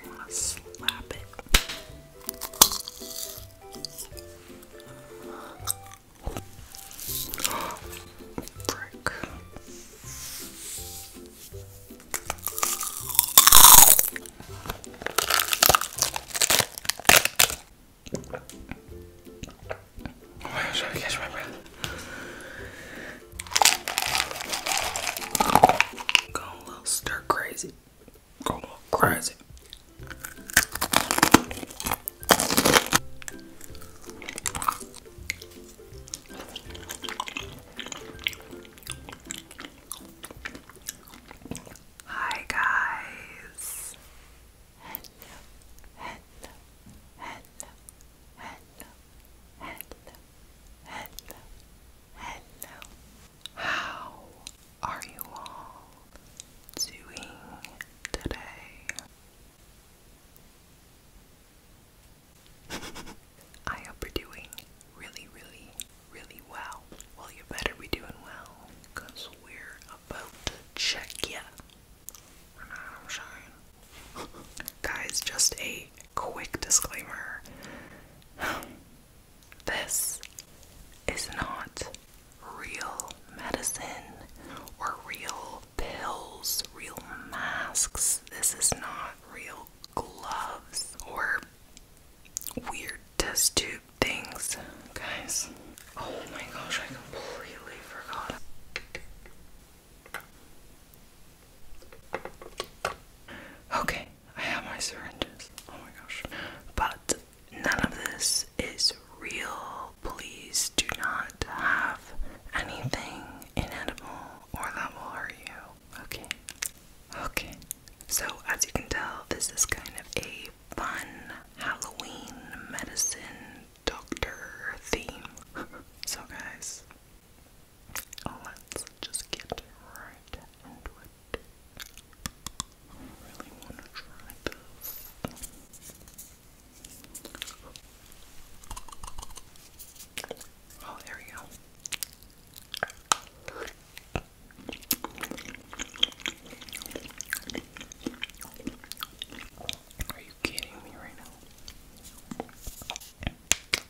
I'm going to slap it. Brick. Oh my gosh, I catch my Go a little stir crazy going crazy. Hi guys. hello, hello, hello, hello, hello, hello, how are you all doing today? I hope you're doing really, really, really well. Well, you better be doing well we're about to check you. Guys, just a quick disclaimer. This is not real medicine or real pills, real masks. This is not real gloves or weird test tube things. Guys, oh my gosh, I completely forgot. Okay, I have my syringes. Oh my gosh. But none of this is real. Please do not have anything inedible or that will hurt you. Okay. Okay. So, as you can tell, this is kind of a fun Halloween medicine doctor theme. so, guys, let's just get right into it. I really want to try this. Oh, there we go. Are you kidding me right now?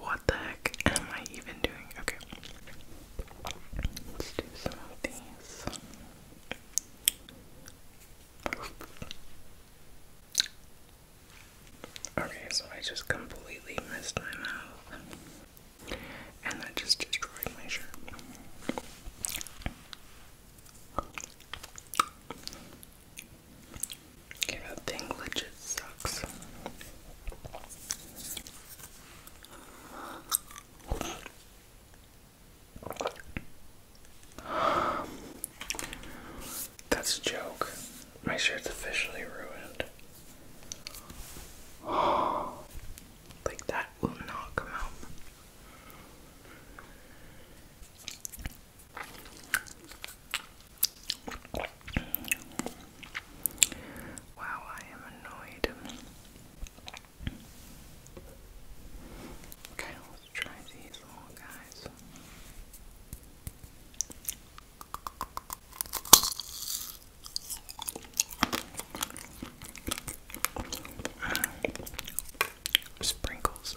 What the heck am I even doing? Okay. Let's do some of these. Okay, so I just completely missed my mouth. And that just destroyed my shirt. that thing legit sucks. That's a joke. My shirt's officially ruined. like that will not come out. Wow, I am annoyed. Okay, let's try these little guys. Sprinkles.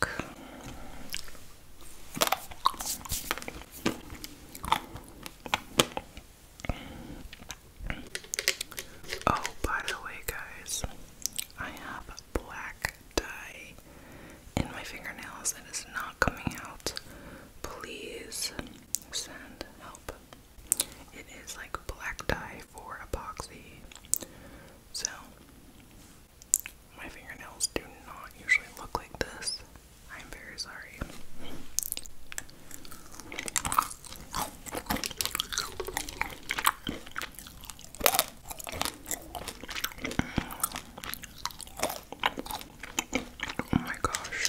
dark. Oh, by the way, guys, I have black dye in my fingernails and it's not coming out. Please send help. It is like black dye for epoxy. So, my fingernails do not usually look like this. I'm very sorry. Oh my gosh.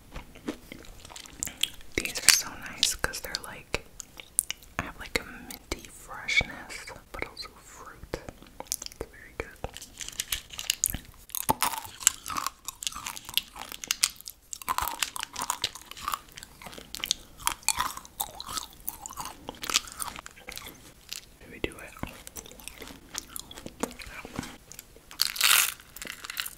These are so nice because they're like, have like a minty freshness, but also fruit. very good. Should we do it?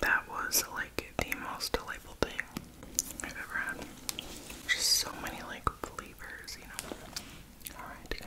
that was like the most delightful thing I've ever had. Just so many like flavors, you know. Alright, guys.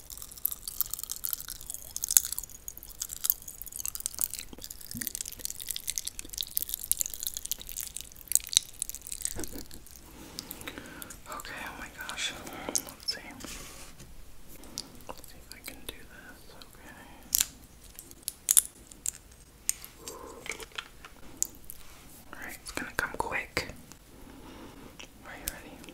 Okay, oh my gosh. Let's see. see if I can do this. Okay. Alright, it's gonna come quick. Are you ready?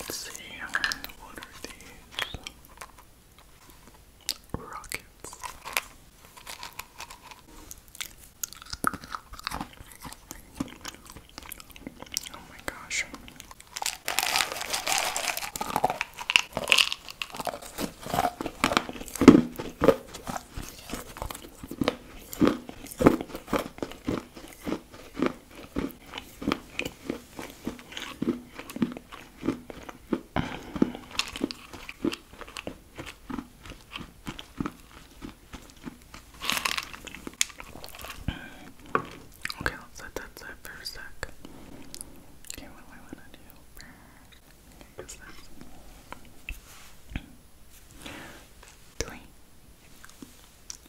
Let's see, what are these? Rockets. Oh my gosh. Okay, let's set that aside for a sec. Okay, what do I want to do? Okay, guess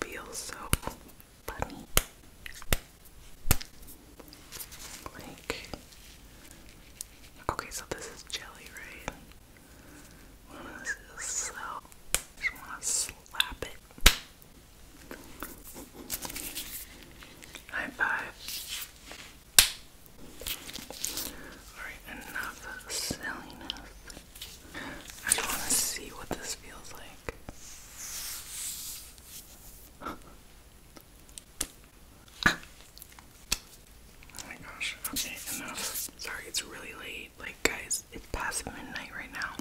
feels so funny. Like, okay, so this is jelly, right? this is so. just want to slap it. High five. Alright, enough silliness. I just want to see what this feels like. oh my gosh. Okay, enough. Sorry, it's really late. Like, guys, it's past midnight right now.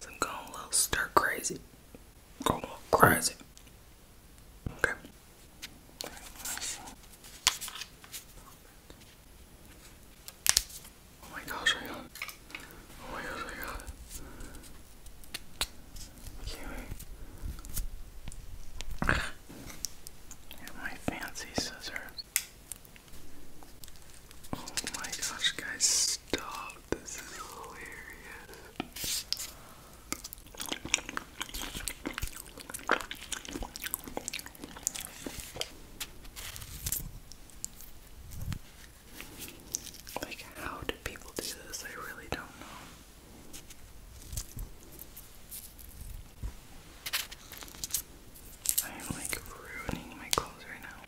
So I'm going a little stir crazy. Going a little crazy. Okay. Oh my gosh, Oh my gosh, I Can't wait. my fancy scissors. Oh my gosh, guys, stop. This is hilarious. Like, how do people do this? I really don't know. I am like ruining my clothes right now.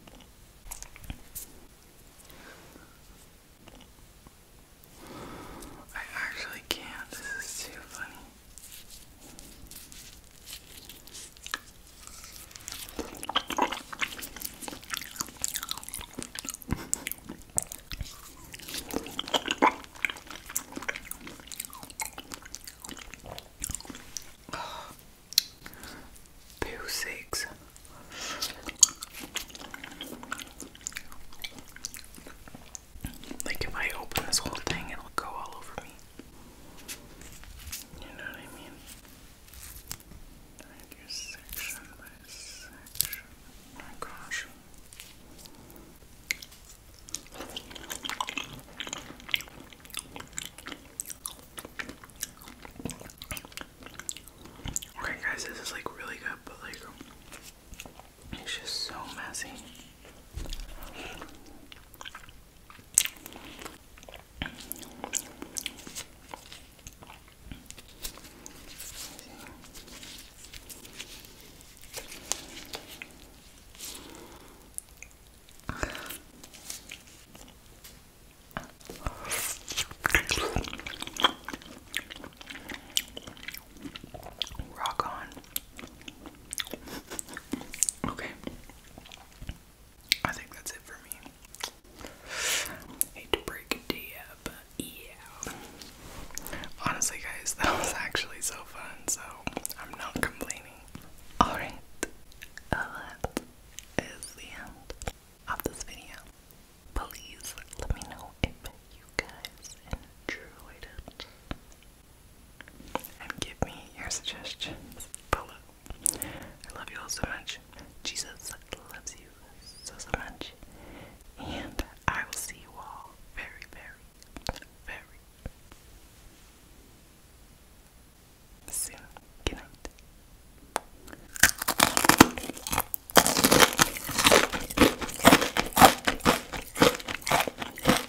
I actually can't. This is too funny. Two six. Like if I open this whole thing, it'll go all over me. You know what I mean? I do section by section. Oh my gosh. guys, this is like really good, but like it's just so messy. Rock on. Okay. I think that's it for me. Hate to break it to you, but yeah. Honestly, guys, that was actually so fun, so I'm not complaining. Alright, that is the end of this video. Please let me know if you guys enjoyed it and give me your suggestions below. I love you all so much. Jesus loves you so, so much. And I will see you all very, very, very soon. Good night.